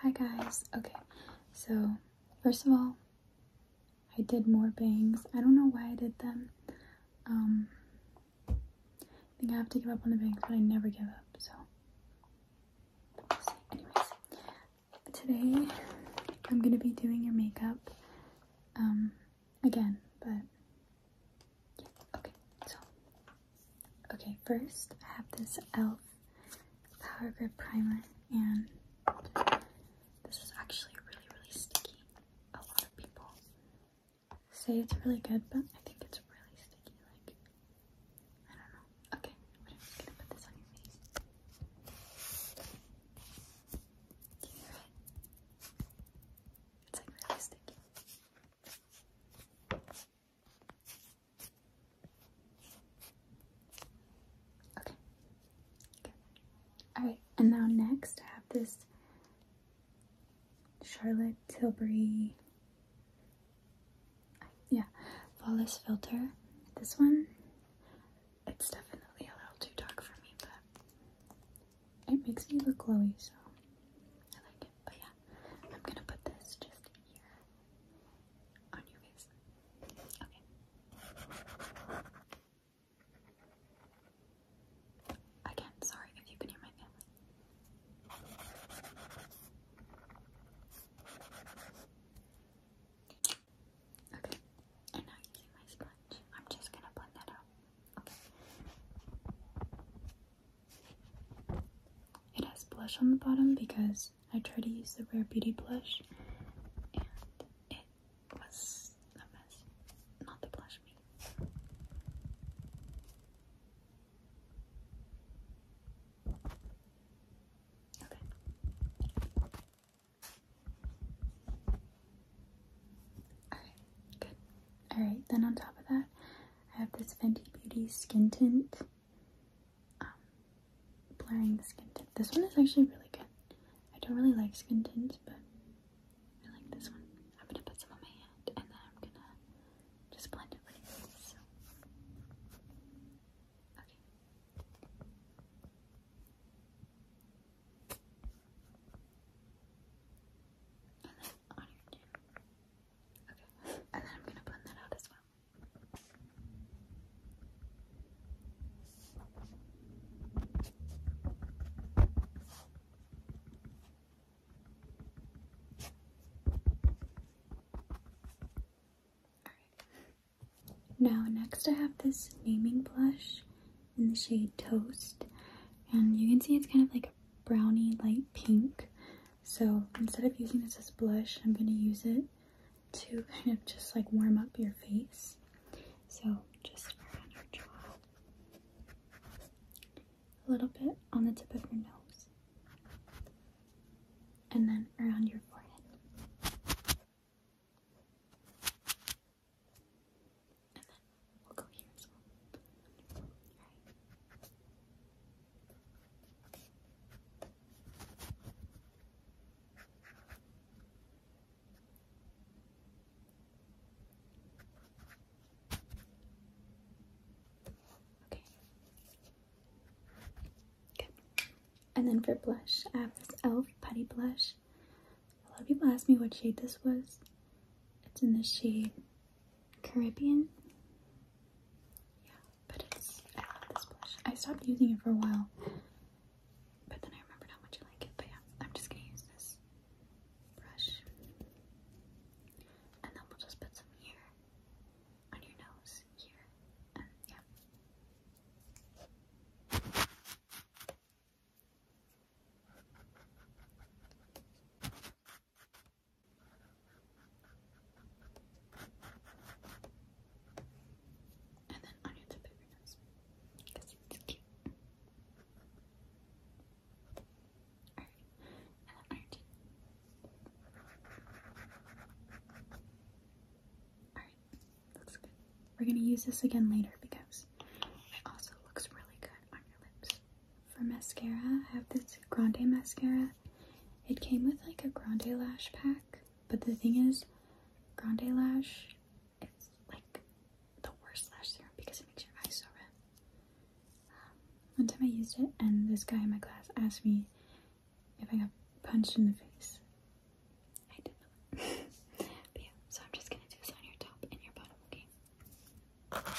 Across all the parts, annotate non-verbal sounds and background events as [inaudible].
Hi guys. Okay, so first of all, I did more bangs. I don't know why I did them. Um, I think I have to give up on the bangs, but I never give up. So, anyways, today I'm gonna be doing your makeup. Um, again, but Okay, so Okay, first I have this e.l.f. Power Grip Primer, and this is actually really, really sticky. A lot of people say it's really good, but I think it's really sticky. Like, I don't know. Okay, I'm just gonna put this on your face. It's like really sticky. Okay. Good. Alright, and now next I have this Charlotte Tilbury yeah, flawless filter. This one, it's definitely a little too dark for me, but it makes me look glowy, so I like it. But yeah, I'm gonna put this just here on your face. Okay. Again, sorry if you can hear my family. Okay, and now you see my sponge. I'm just gonna blend that out. Okay. It has blush on the bottom because I try to use the Rare Beauty blush and it was a mess. Not the blush me. Okay. Alright, good. Alright, then on top of that, I have this Fenty Beauty Skin Tint um, blurring the skin tint. This one is actually really good. I don't really like skin tints, but I like this one. I'm gonna put some on my hand and then I'm gonna just blend it with this. So. Okay. And then I'm gonna blend that out as well. Now, next I have this naming blush in the shade Toast, and you can see it's kind of like a brownie light pink. So instead of using this as blush, I'm going to use it to [laughs] kind of just like warm up your face. So just around your jaw, a little bit on the tip of your nose, and then around your forehead. And then we'll go here as well. Okay. Good. And then for blush, I have this e.l.f. Putty Blush. A lot of people ask me what shade this was. It's in this shade Caribbean. Yeah, but it's I love this blush. I stopped using it for a while, but then I remembered how much I like it. But yeah, I'm just gonna use this brush, and then we'll just put some here on your nose, here, and yeah. And then I need because it's cute. Alright, and Alright, looks good. We're gonna use this again later because it also looks really good on your lips for mascara, I have this Grande mascara. It came with like a Grande lash pack, but the thing is, Grande lash it's like the worst lash serum because it makes your eyes so red. Um, one time I used it, and this guy in my class asked me if I got punched in the face. I did [laughs] so I'm just gonna do this on your top and your bottom, okay?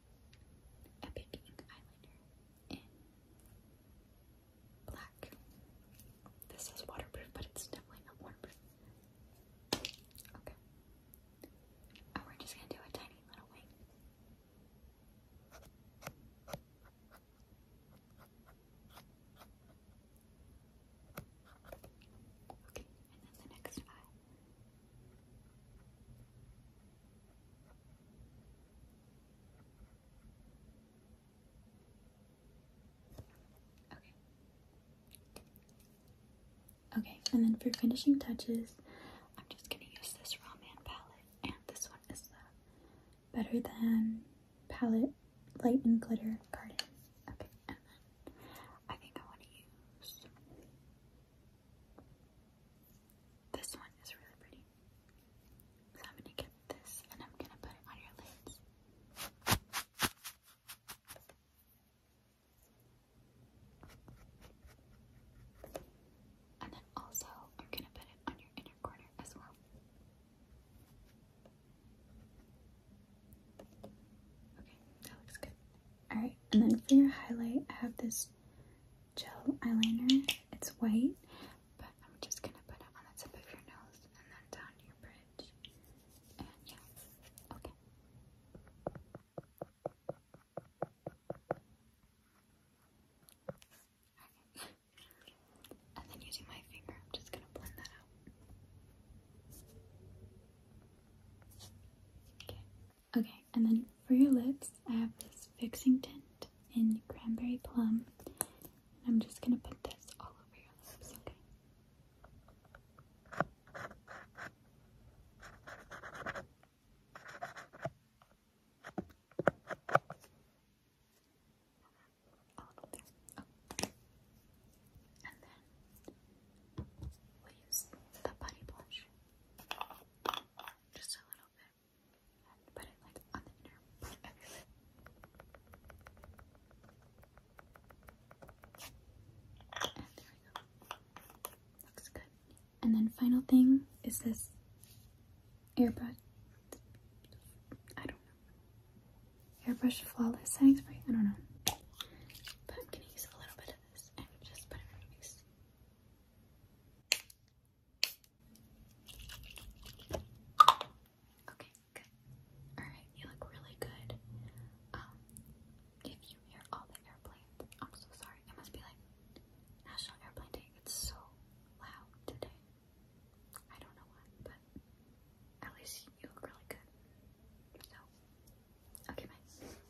Epic Ink Eyeliner in black. This is waterproof, but it's definitely not waterproof. Okay. And oh, we're just gonna do a tiny little wing. Okay, and then the next eye. Okay. Okay, and then for finishing touches, I'm just gonna use this Ramen palette, and this one is the Better Than palette light and glitter garden. Okay, and then I think I want to use this one is really pretty. So I'm gonna get this and I'm gonna put it on your lids. And then also I'm gonna put it on your inner corner as well. Okay, that looks good. Alright, and then for your highlight, I have this gel eyeliner. It's white, but I'm just gonna put it on the tip of your nose and then down your bridge. And yeah, Okay. and then using my finger, I'm just gonna blend that out. Okay. Okay, and then for your lips, I have this fixing tint in cranberry plum. And I'm just gonna put this all over your lips, okay? And then we use the body blush just a little bit, and put it like on the inner part there we go. Looks good. And then final thing is this airbrush. I don't know. Airbrush flawless setting spray. I don't know. But i use a little bit of this and just put it on my face. Okay, good. Alright, you look really good. Um, if you hear all the airplanes, I'm so sorry. It must be like National Airplane Day. It's so loud today. I don't know why, but at least you look really good. So, okay, bye.